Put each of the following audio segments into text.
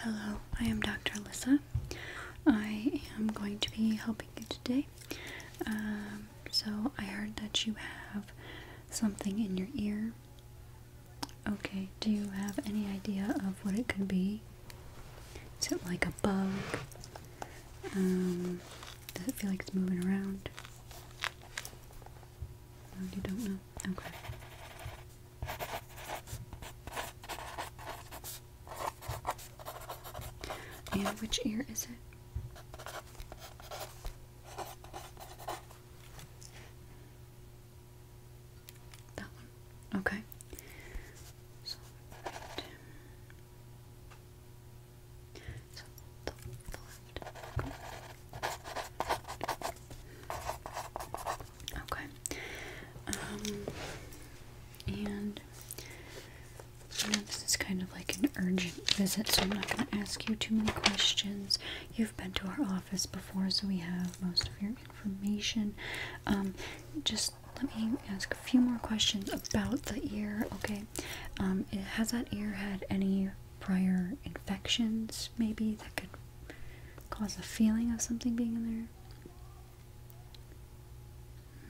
Hello, I am Dr. Alyssa. I am going to be helping you today. Um, so, I heard that you have something in your ear. Okay, do you have any idea of what it could be? Is it like a bug? Um, does it feel like it's moving around? you don't know. Okay. And which ear is it? That one. Okay. So, left. Okay. Um, and you this is kind of like an urgent visit, so I'm not going to ask you too many questions. You've been to our office before, so we have most of your information. Um, just let me ask a few more questions about the ear, okay? Um, has that ear had any prior infections, maybe, that could cause a feeling of something being in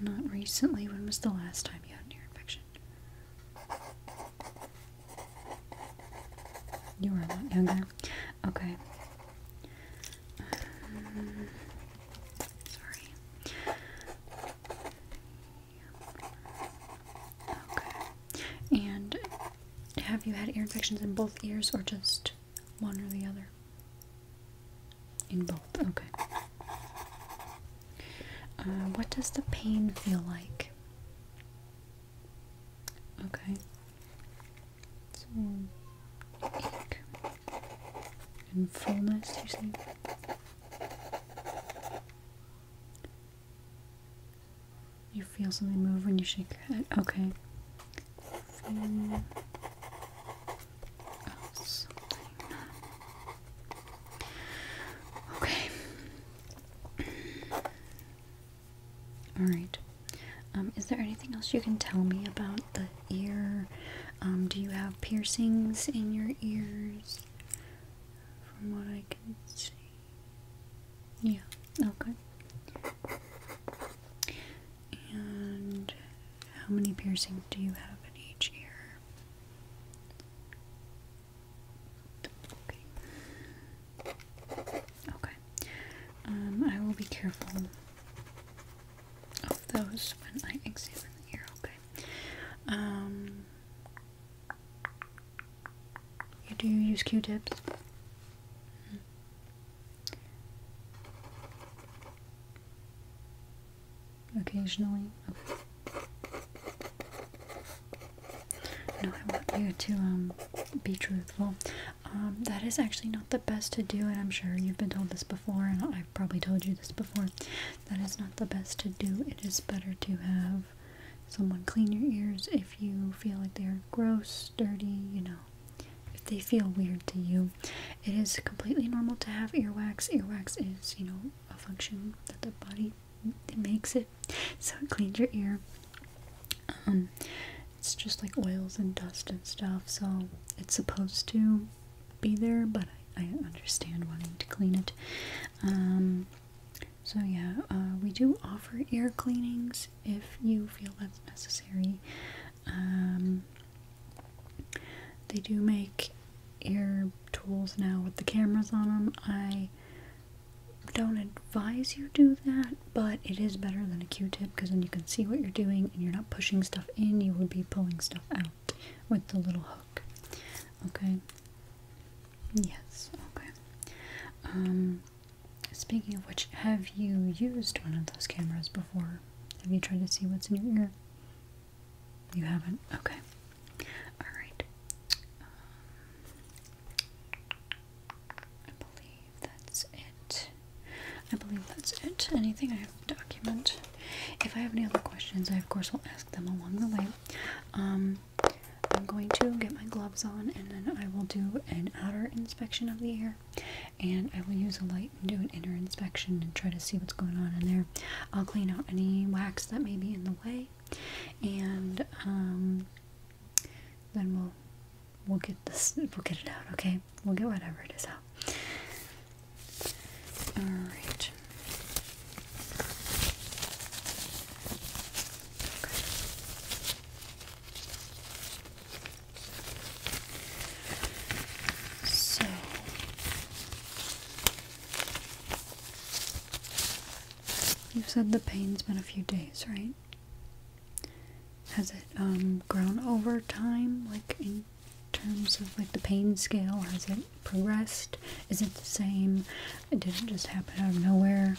there? Not recently. When was the last time you had an ear infection? You were a lot younger. Okay. sorry. Okay. And have you had ear infections in both ears or just one or the other? In both, okay. Uh, what does the pain feel like? Okay. So, ache and fullness, you see? You feel something move when you shake your head. Okay. Okay. Alright. Um, is there anything else you can tell me about the ear? Um, do you have piercings in your ears? From what I can see. Yeah, okay. Oh, and how many piercings do you have in each ear? Okay. Okay. Um, I will be careful of those when I examine the ear, okay? Um, you do use Q-tips? Hmm. Occasionally. No, I want you to um, be truthful. Um, that is actually not the best to do, and I'm sure you've been told this before, and I've probably told you this before. That is not the best to do. It is better to have someone clean your ears if you feel like they are gross Dirty, you know, if they feel weird to you. It is completely normal to have earwax. Earwax is, you know, a function that the body makes it. So it cleans your ear. Um, it's just like oils and dust and stuff, so it's supposed to be there, but I, I understand wanting to clean it. Um, so yeah, uh, we do offer ear cleanings if you feel that's necessary. Um, they do make ear tools now with the cameras on them. I don't advise you do that, but it is better than a Q-tip because then you can see what you're doing and you're not pushing stuff in, you would be pulling stuff out with the little hook. Okay. Yes, okay. Um Speaking of which, have you used one of those cameras before? Have you tried to see what's in your ear? You haven't? Okay. Alright. Um, I believe that's it. I believe that's it. Anything I have to document. If I have any other questions, I of course will ask them along the way. Um, I'm going to get my gloves on and then I will do an outer inspection of the ear and I will use a light and do an inner inspection and try to see what's going on in there. I'll clean out any wax that may be in the way, and um, then we'll we'll get this we'll get it out. Okay, we'll get whatever it is out. All right. So you've said the pain's been a few days, right? Has it um, grown over time, like in terms of like the pain scale? Has it progressed? Is it the same? It Did not just happen out of nowhere?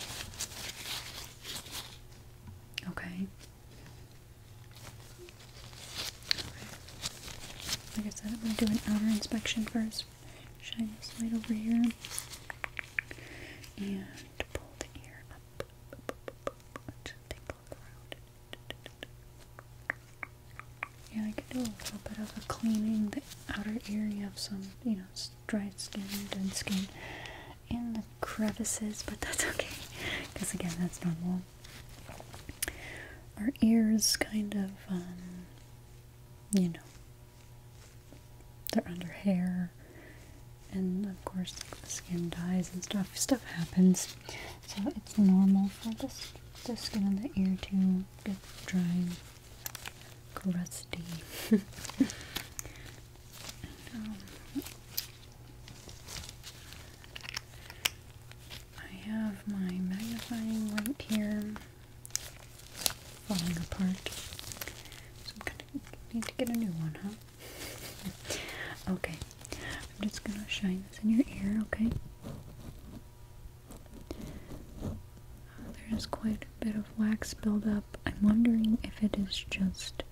Okay. Like I said, I'm going to do an outer inspection first. Shine this light over here. And pull the ear up. Yeah, I can do a little bit of a cleaning the outer ear. You have some, you know, dried skin, dead skin in the crevices, but that's okay because again, that's normal. Our ears kind of, um, you know, they're under hair, and of course, the skin dies and stuff. Stuff happens, so it's normal for this the skin on the ear to get dry crusty. Um, I have my magnifying right here falling apart. So I'm gonna need to get a new one, huh? okay. I'm just gonna shine this in your ear, okay? There's quite a bit of wax buildup. I'm wondering if it is just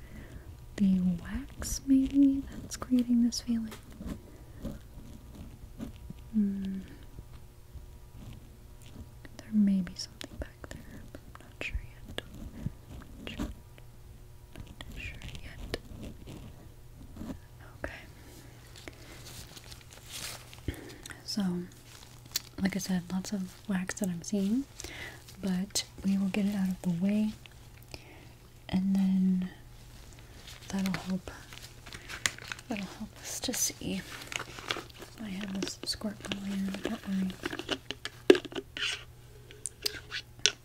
the wax maybe that's creating this feeling. Hmm. There may be something back there, I'm not sure yet. not sure yet. Okay. So, like I said, lots of wax that I'm seeing but we will get it out of the way and then that'll help that'll help us to see. I have this squirt earlier, don't worry.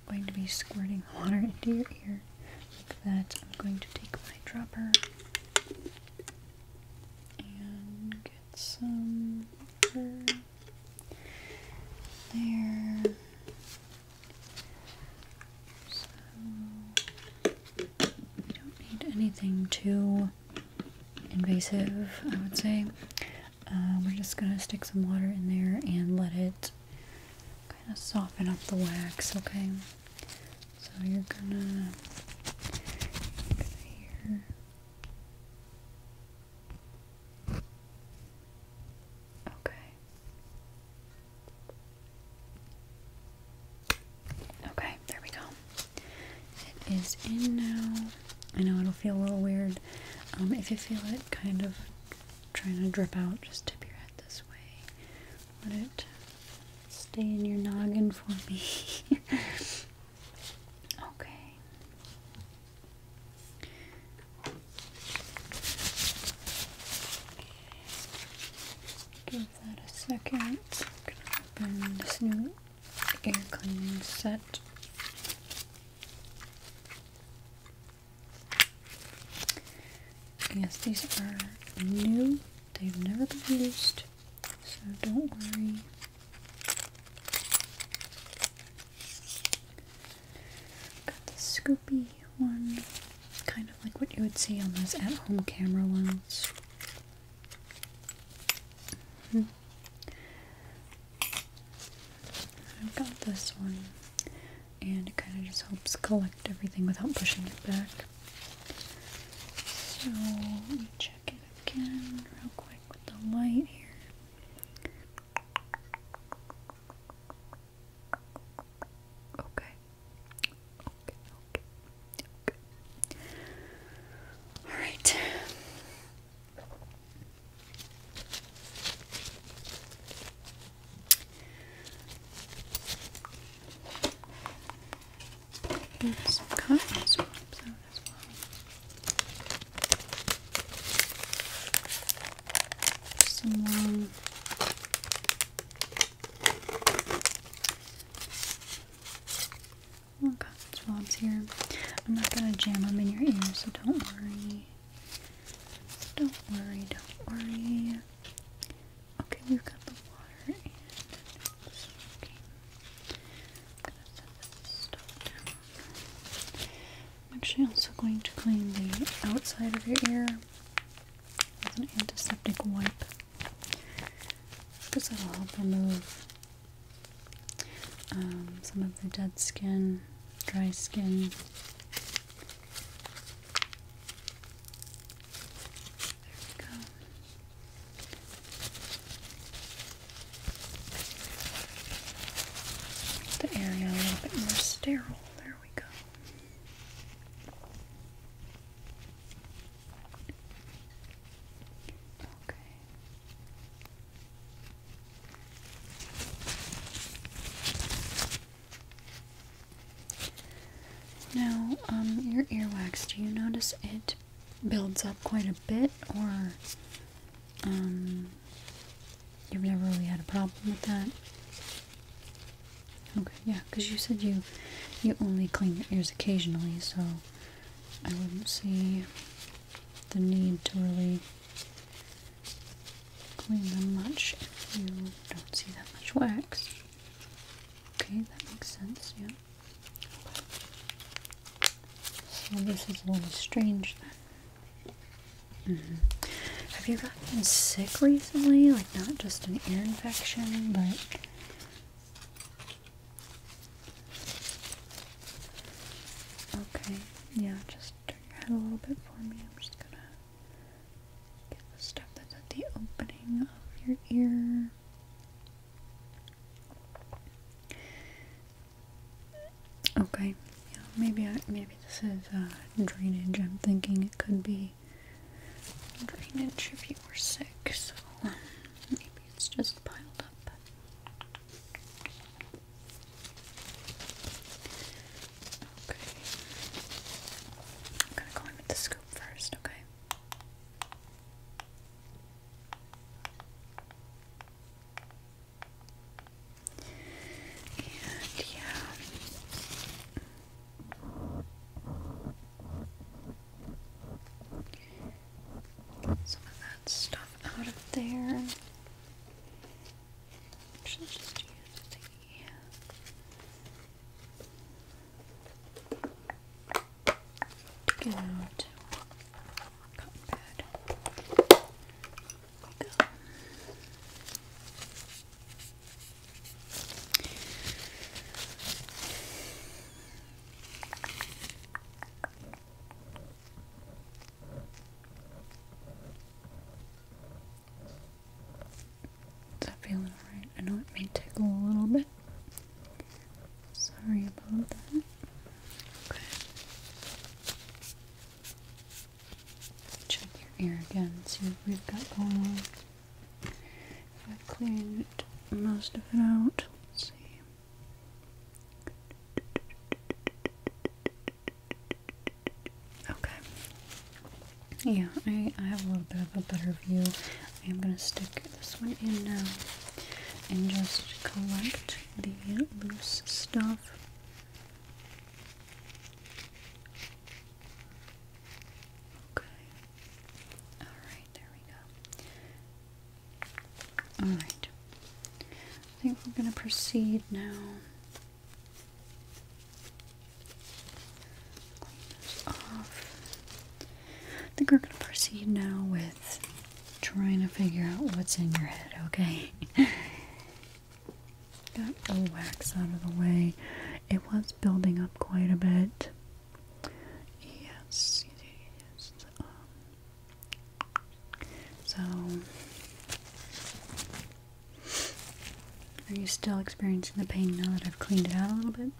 I'm going to be squirting water into your ear like that. I'm going to take my dropper and get some water there. So we don't need anything too invasive, I would say. Uh, we're just gonna stick some water in there and let it kind of soften up the wax, okay? So you're gonna, you're gonna here. Okay. Okay, there we go. It is in now. I know it'll feel a little weird. Um, if you feel it kind of trying to drip out, just tip your head this way. Let it stay in your noggin for me. okay. Give that a second. I'm gonna open this new air cleaning set. Yes, these are new. They've never been used, so don't worry. Got the scoopy one, kind of like what you would see on those at-home camera ones. Hmm. I've got this one, and it kind of just helps collect everything without pushing it back. So let me check it again real quick with the light here. Okay. Okay, okay, okay. All right. some cotton swabs out as well someone oh, swabs here. I'm not gonna jam them in your ears, so don't worry. Don't worry, don't worry. Okay, we've got the water and I'm actually also going to clean the outside of your ear with an antiseptic wipe because that'll help remove um, some of the dead skin, dry skin. There we go the area a little bit more sterile. There we go. Okay. Now, um, your earwax, do you notice it builds up quite a bit or um You've never really had a problem with that? Okay, yeah, because you said you you only clean your ears occasionally, so I wouldn't see the need to really clean them much if you don't see that much wax. Okay, that makes sense, yeah. So this is a little strange then. Mm-hmm. Have you gotten sick recently? Like, not just an ear infection, but. Okay, yeah, just turn your head a little bit for me. I'm just gonna get the stuff that's at the opening of your ear. Okay, maybe maybe this is uh, drainage. I'm thinking it could be drainage if you were sick, so maybe it's just piled up. Okay, I'm gonna go in with the scoop first. Okay. And yeah, some of that stuff out of there. Actually, just use the. Get out. Cotton we go. Is that feeling alright? I know it may tickle a little bit. Sorry about that. Check your ear again, see if we've got going i cleaned most of it out. see. Okay. Yeah, I, I have a little bit of a better view. I am going to stick this one in now and just collect the loose stuff Okay. Alright, there we go. Alright. I think we're going to proceed now. off. I think we're going to proceed now with trying to figure out what's in your head, okay? Got the wax out of the way. It was building up quite a bit. Yes, yes. Um, so, are you still experiencing the pain now that I've cleaned it out a little bit?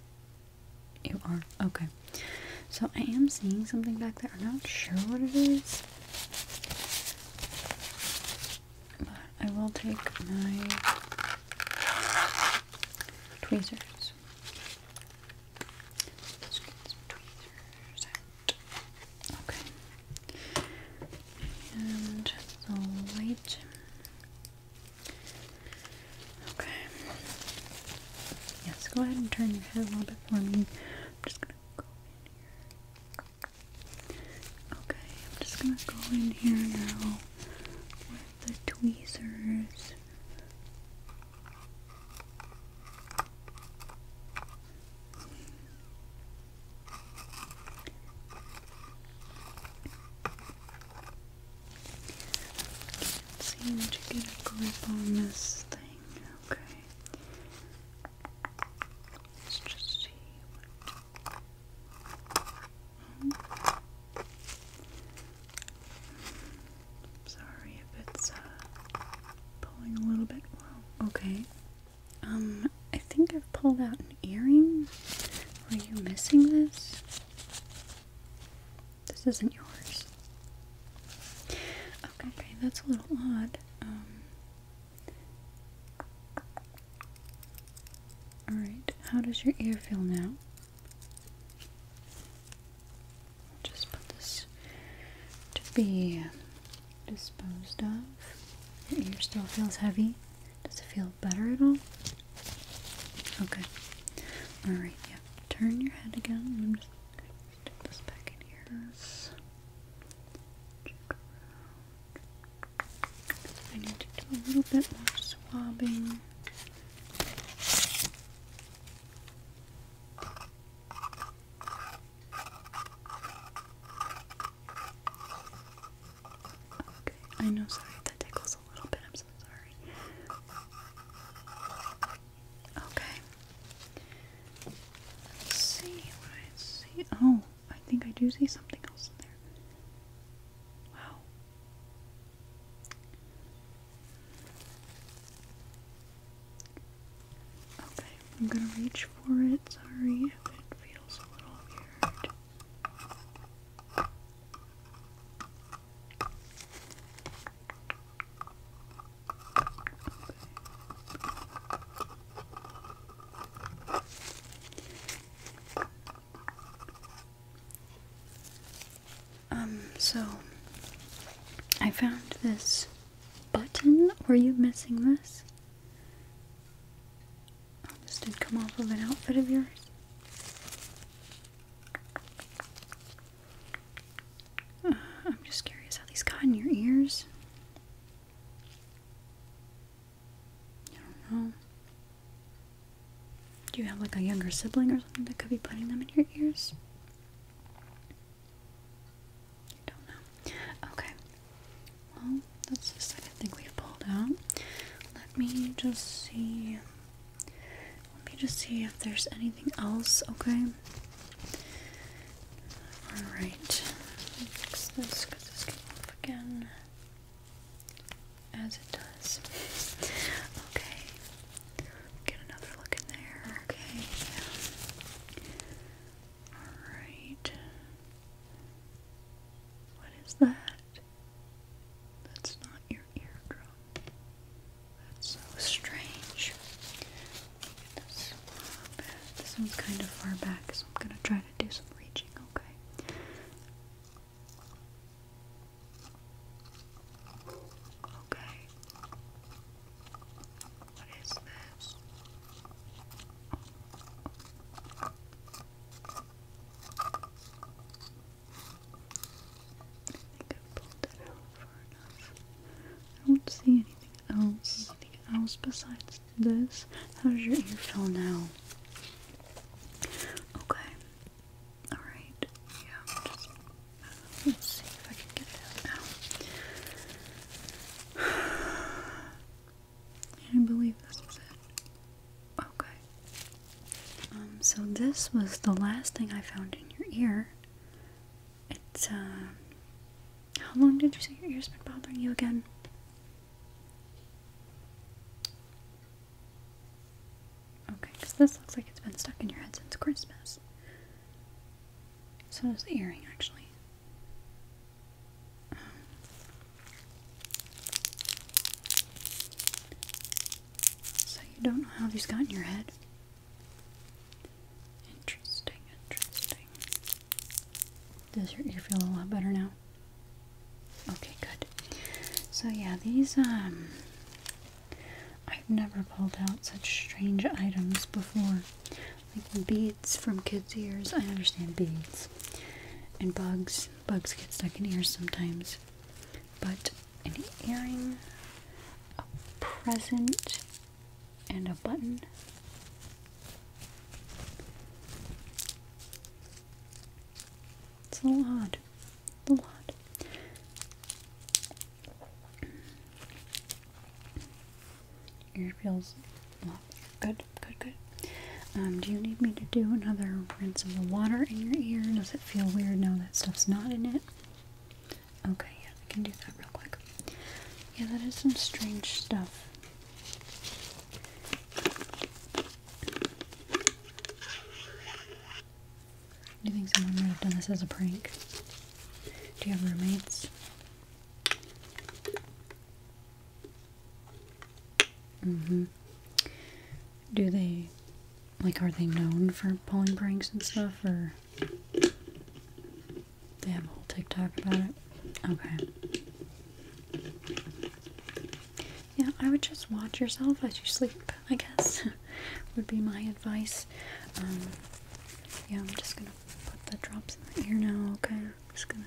You are. Okay. So, I am seeing something back there. I'm not sure what it is. But I will take my tweezers. Let's get some tweezers out. Okay. And the light. Okay. Yes, go ahead and turn your head a little bit for me. I'm just gonna go in here. Okay, I'm just gonna go in here now with the tweezers. Can't seem to get a grip on this thing. Okay. Let's just see. Hmm. Sorry if it's uh, pulling a little bit. Okay. Um, I think I've pulled out an earring. Are you missing this? This isn't yours. Okay, okay, that's a little odd. Um, Alright, how does your ear feel now? Just put this to be disposed of. Your ear still feels heavy. Does it feel better at all? Okay. Oh, Alright, yeah. Turn your head again. I'm just going this back in here. I need to do a little bit more swabbing. Okay, I know, that tickles a little bit. I'm so sorry. Okay. Let's see what I see. Oh, I think I do see something else in there. Wow. Okay, I'm gonna reach for it. Sorry it feels a little weird. Um, so I found this button. Were you missing this? Oh, this did come off of an outfit of yours. Uh, I'm just curious how these got in your ears. I don't know. Do you have like a younger sibling or something that could be putting them in your ears? I don't know. Okay. Well, that's the second thing we pulled out. Let me just see. Let me just see if there's anything else, okay? Alright, fix this because this came off again. As it does. okay. Get another look in there. Okay. Alright. What is that? That's not your eardrum. That's so strange. This, one's kind of far back, so I'm gonna try to do some reaching, okay? Okay. What is this? I think I pulled it out far enough. I don't see anything else anything else besides this? How's your ear feel now? Okay. Alright. Yeah, let's see if I can get that now. I believe this is it. Okay. Um, so this was the last thing I found in your ear. It's, uh. How long did you say your ears been bothering you again? Okay, because this looks like it's been stuck in your head since Christmas. So does the earring, actually. so you don't know how these got in your head? Interesting, interesting. Does your ear feel a lot better now? Okay, good. So yeah, these um I've never pulled out such strange items before. Like beads from kids' ears. I understand beads. And bugs. Bugs get stuck in ears sometimes. But an earring, a present, and a button. It's a lot. A lot. Ear feels well, good, good, good. Um, do you need me to do another rinse of the water in your ear? Does it feel weird now that stuff's not in it? Okay, yeah, I can do that real quick. Yeah, that is some strange stuff. Do you think someone might have done this as a prank? Do you have roommates? Mm-hmm. Do they, like, are they known for pulling pranks and stuff, or? They have a whole TikTok about it. Okay. Yeah, I would just watch yourself as you sleep, I guess, would be my advice. Um, yeah, I'm just gonna put the drops in the ear now, okay? just gonna.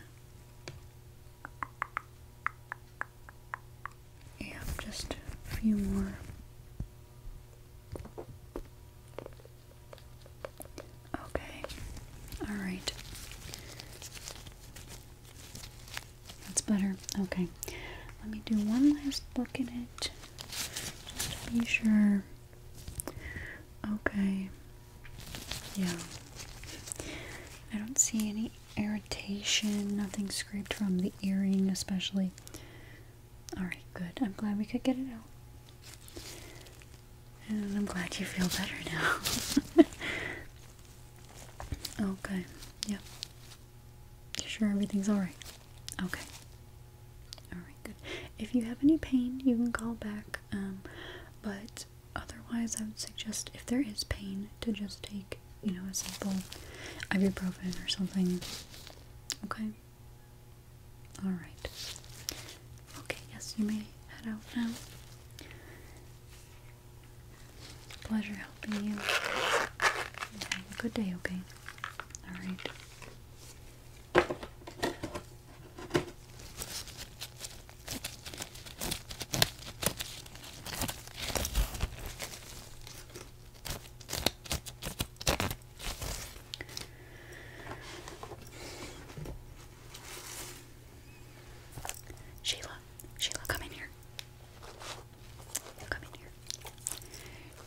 Yeah, just a few more. Okay. All right. That's better. Okay. Let me do one last look at it. Just to be sure. Okay. Yeah. I don't see any irritation, nothing scraped from the earring, especially. Alright, good. I'm glad we could get it out. And I'm glad you feel better now. okay. Oh, yep. sure everything's alright? Okay. Alright, good. If you have any pain, you can call back. Um, but otherwise, I would suggest if there is pain, to just take, you know, a simple ibuprofen or something. Okay? Alright. Okay, yes, you may head out now. Pleasure helping you. Have a good day, okay? Alright. Sheila, Sheila, come in here. Come in here.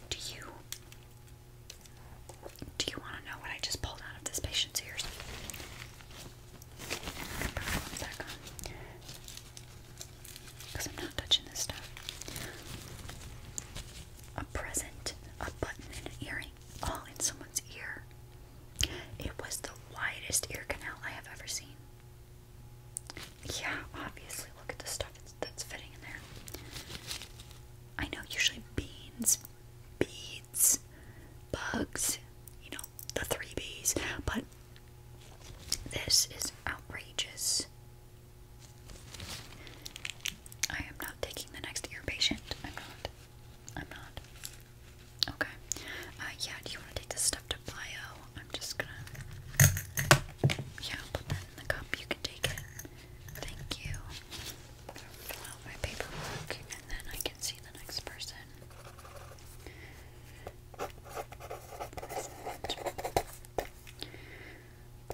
Do you do you want to know what I just pulled out of this patient's ears? Put back on. Because I'm not touching this stuff. A present, a button, and an earring, all in someone's ear. It was the widest ear canal I have ever seen. Yeah, obviously, look at the stuff that's fitting in there. I know usually beans, beads, bugs, you know, the three B's, but this is outrageous. I am not taking the next ear patient. I'm not. I'm not. Okay. Uh, yeah, do you want to take this stuff to bio? I'm just gonna. Yeah, put that in the cup. You can take it. Thank you. i out my paperwork and then I can see the next person.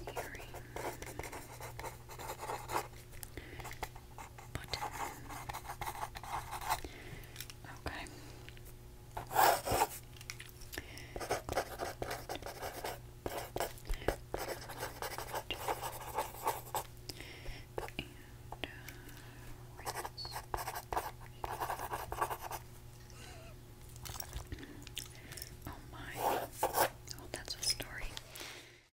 Hearing button. Okay. Uh, oh my, oh that's a story.